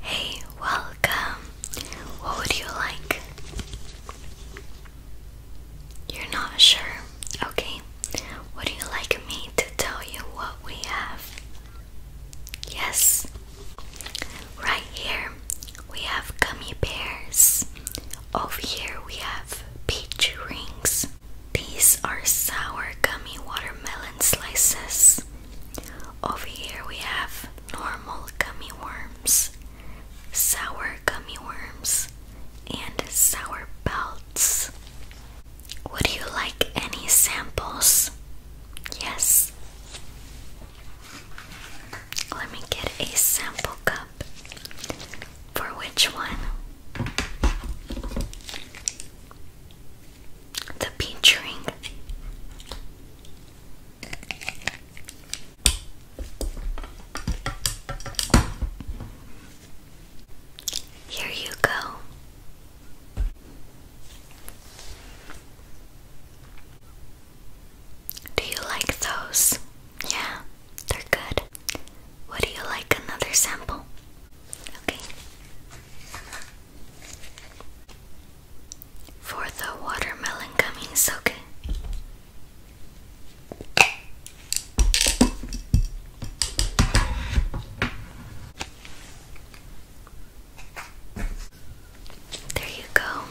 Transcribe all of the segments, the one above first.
Hey, welcome. What would you like? You're not sure. Okay. Would you like me to tell you what we have? Yes. Right here we have gummy bears. Over here we have peach rings. These are sour gummy watermelon slices. Over here we have normal gummy worms, sour gummy worms, and sour belts. Would you like any samples? Yes. Let me get a sample cup. For which one? the pinchering. Here you go. Do you like those? Yeah, they're good. Would you like another sample? Okay. For the watermelon coming soke. There you go.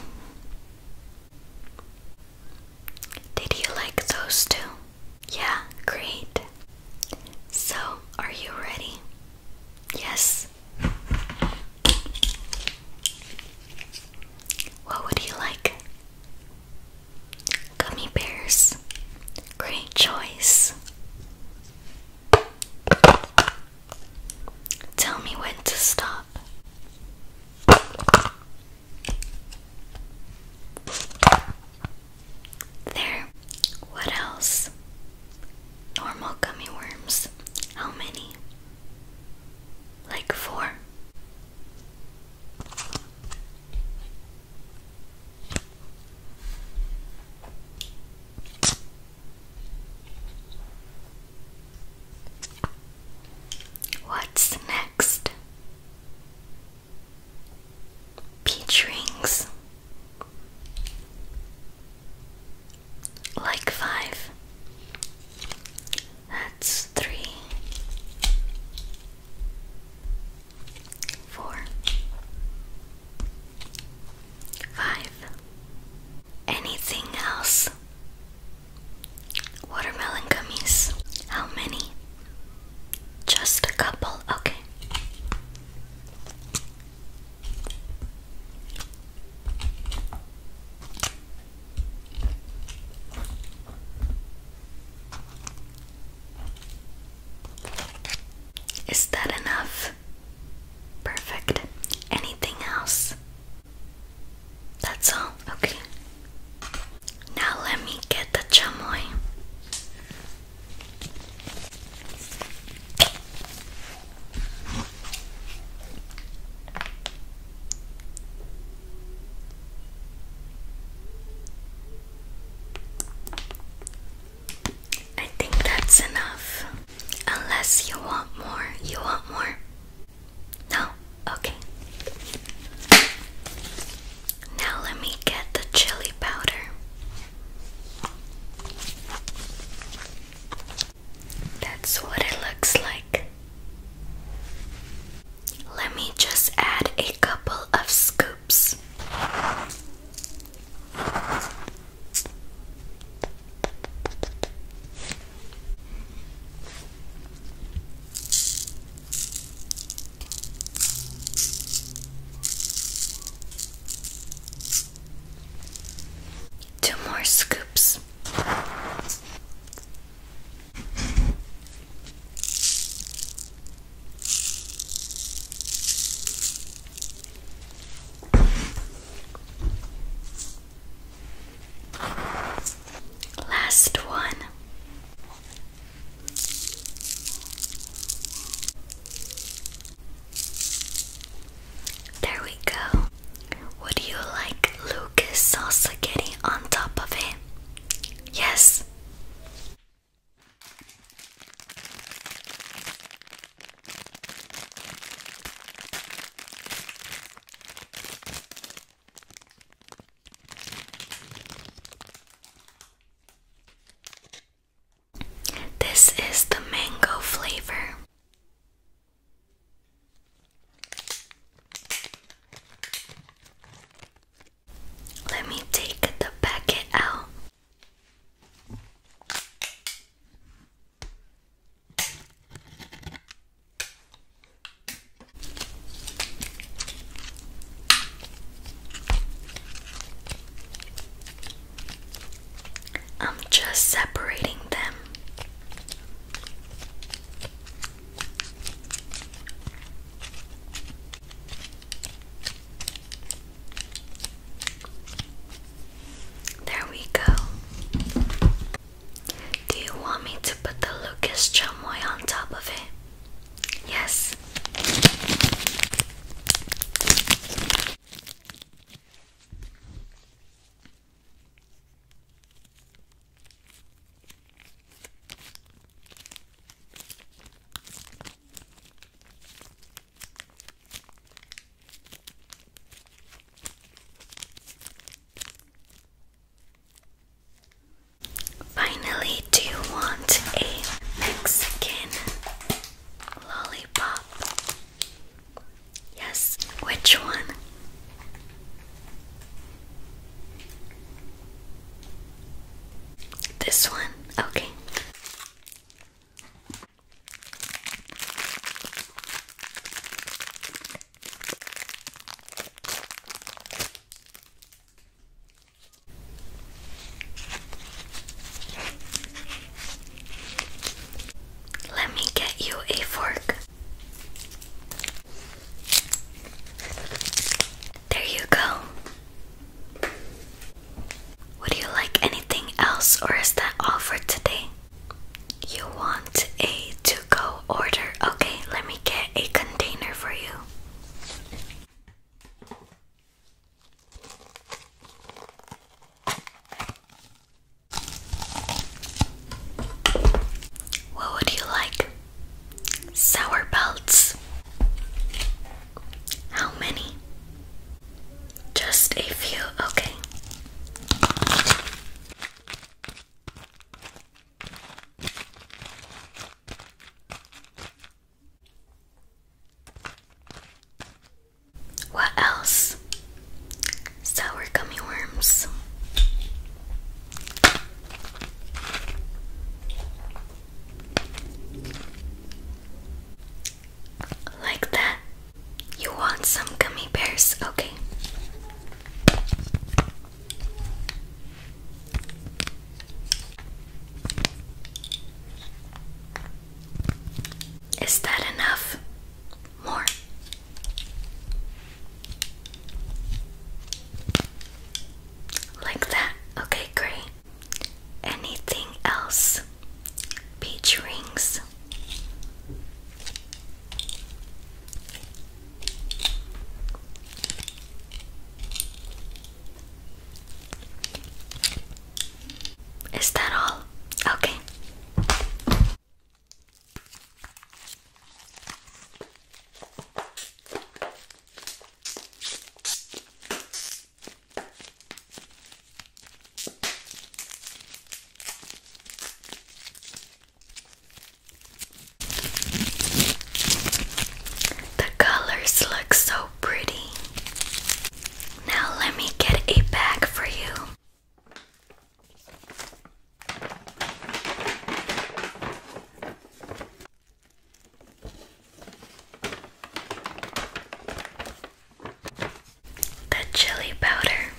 Did you like those two? Yeah, great. So, are you ready? Yes. What would you like? Gummy bears. Great choice. Tell me when to stop. There. What else? Normal gummy worms. How many? Like four. What's next? Peach rings. Like five. That's three, four, five. Anything else? Watermelon gummies. How many? Just a couple. Okay. Is that enough? Perfect. Anything else? That's all. Okay. Now let me get the chamoy. I think that's enough. Unless you want more, you want more. No, okay. Now let me get the chili powder. That's what it looks like. Let me just add a couple of scoops. Two more scoops. Last one. There we go. Would you like Lucas salsa spaghetti on top of it? Yes. This is the mango flavor. Let me take the packet out. I'm just separating them. There we go. Do you want me to put the Lucas chamoy on top of it? Yes. Finally, do you want a Mexican Lollipop. Yes, which one? This one? Okay. Let me get you a fork. There you go. Would you like anything else, or is that all for today? You want a to go order? Okay, let me get a container for you. What would you like? Sour belts. How many? Just a few, okay. What else? Sour gummy worms. Like that? You want some gummy bears? Okay. Is that enough? More. Like that. Okay, great. Anything else? Peach rings. Is that all? Okay. The colors look so pretty. Now let me get a bag for you. The chili powder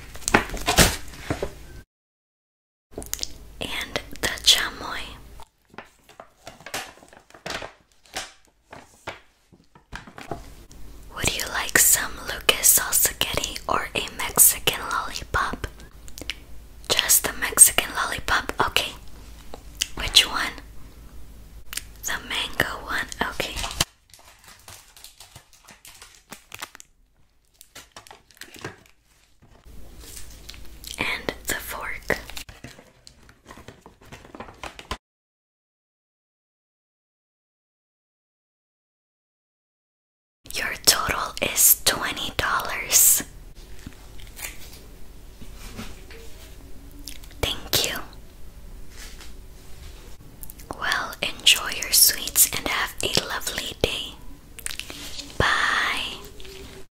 and the chamoy. Would you like some Lucas sauce or a Mexican lollipop? Just the Mexican lollipop? Okay. Which one? The mango one? Okay and the fork. Your total is $20. Thank you. Well, enjoy your sweets and have a lovely day. Bye.